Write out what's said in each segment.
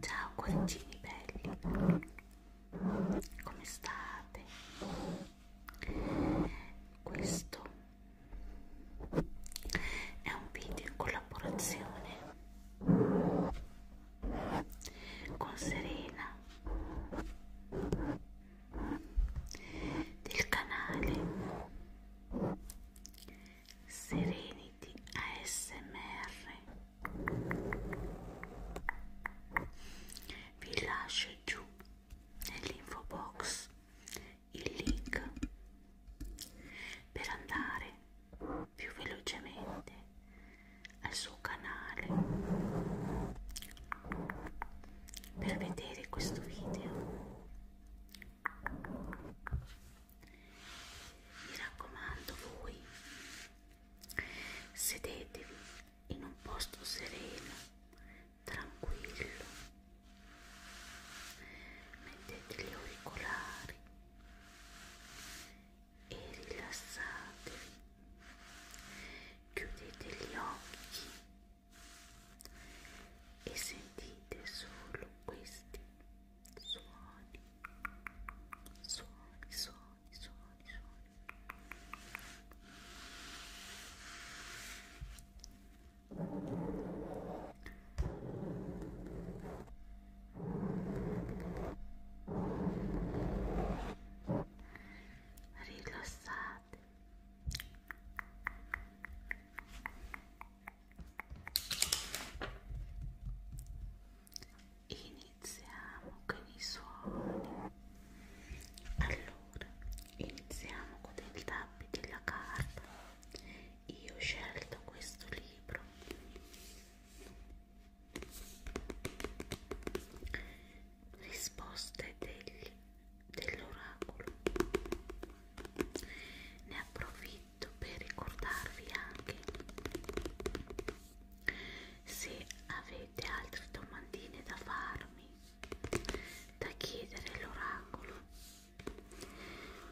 Ciao cuoricini belli, come state? Questo è un video in collaborazione con Serena del canale Serenity ASMR vi lascio giù nell'info box il link per andare più velocemente al suo canale per vedere questo video mi raccomando voi sedetevi in un posto sereno tranquillo mettete gli auricolari e rilassatevi, chiudete gli occhi e sentite solo questi suoni, suoni, suoni, suoni, suoni rilassate iniziamo con i suoni allora iniziamo con il tappi della carta io ho scelto questo libro risposte degli, dell'oracolo ne approfitto per ricordarvi anche se avete altre domandine da farmi da chiedere l'oracolo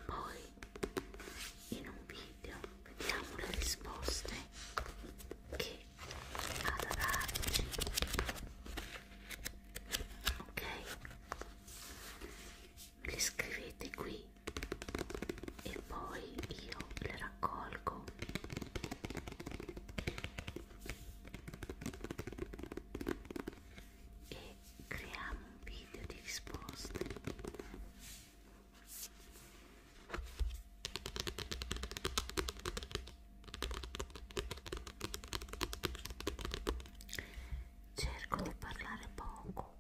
poi in un video vediamo le risposte che ha da darci ok me le scrivete qui e poi io le raccolgo e creiamo un video di risposte Cerco di parlare poco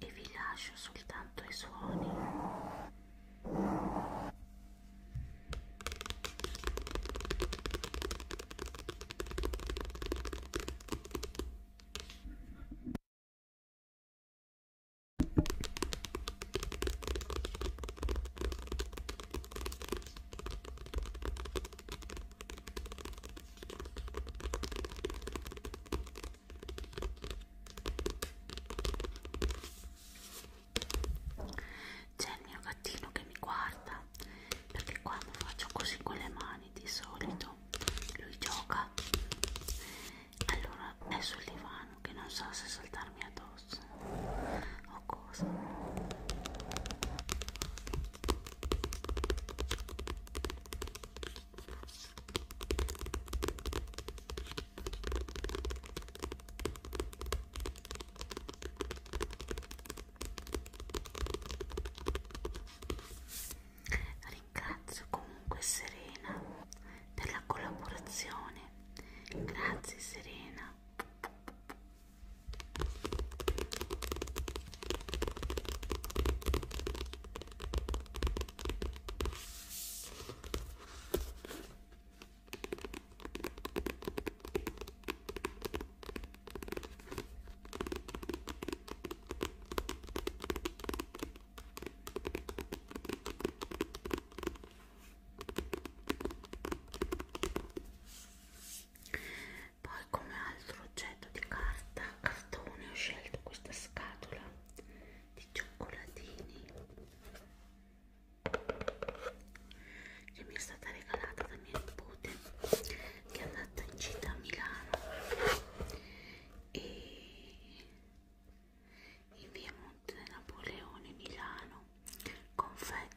e vi lascio soltanto i suoni. C'è il mio gattino che mi guarda perché quando faccio così con le mani di solito lui gioca allora è sul divano che non so se saltarmi addosso o cosa Ringrazio comunque Serena per la collaborazione. Grazie Serena. Poi come altro oggetto di carta, cartone ho scelto questa scatola di cioccolatini che mi è stata regalata da mia nipote che è andata in gita a Milano e in via Monte Napoleone Milano confetti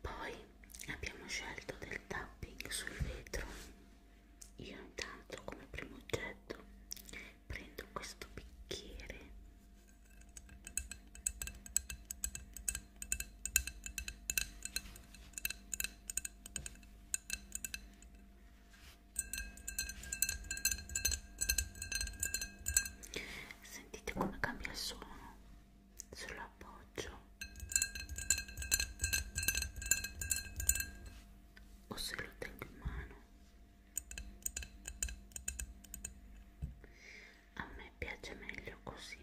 poi abbiamo scelto del tapping sul vetro io intanto come primo oggetto prendo questo bicchiere sentite come cambia il suono sull'appoggio o se lo tengo in mano a me piace meglio così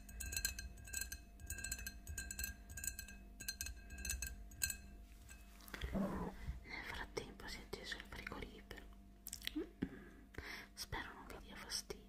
Nel frattempo si è acceso il frigorifero. Mm -mm. Spero non vi dia fastidio.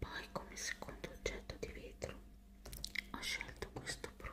Poi come secondo oggetto di vetro ho scelto questo profumo.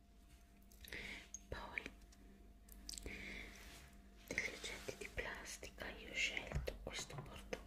poi degli oggetti di plastica io ho scelto questo portaocchiali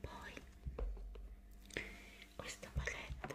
Poi questa palette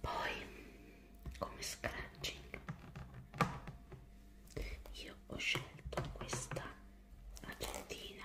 Poi, come scratching, io ho scelto questa argentina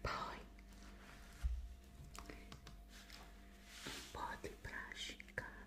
poi un po' di brush in camera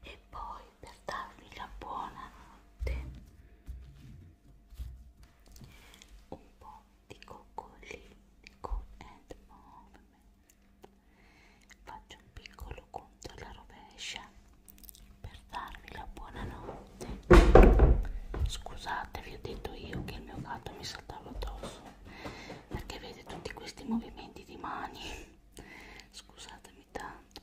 e poi per darvi la buona notte un po' di coccolini con end movement Faccio un piccolo conto alla rovescia per darvi la buonanotte. Scusate, vi ho detto io che il mio gatto mi saltava addosso perché vede tutti questi movimenti di mani. Scusatemi tanto.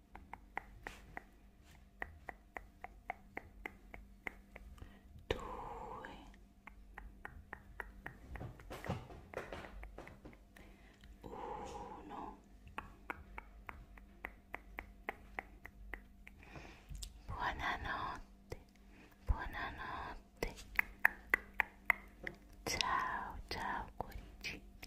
due uno buonanotte buonanotte ciao ciao cuoricini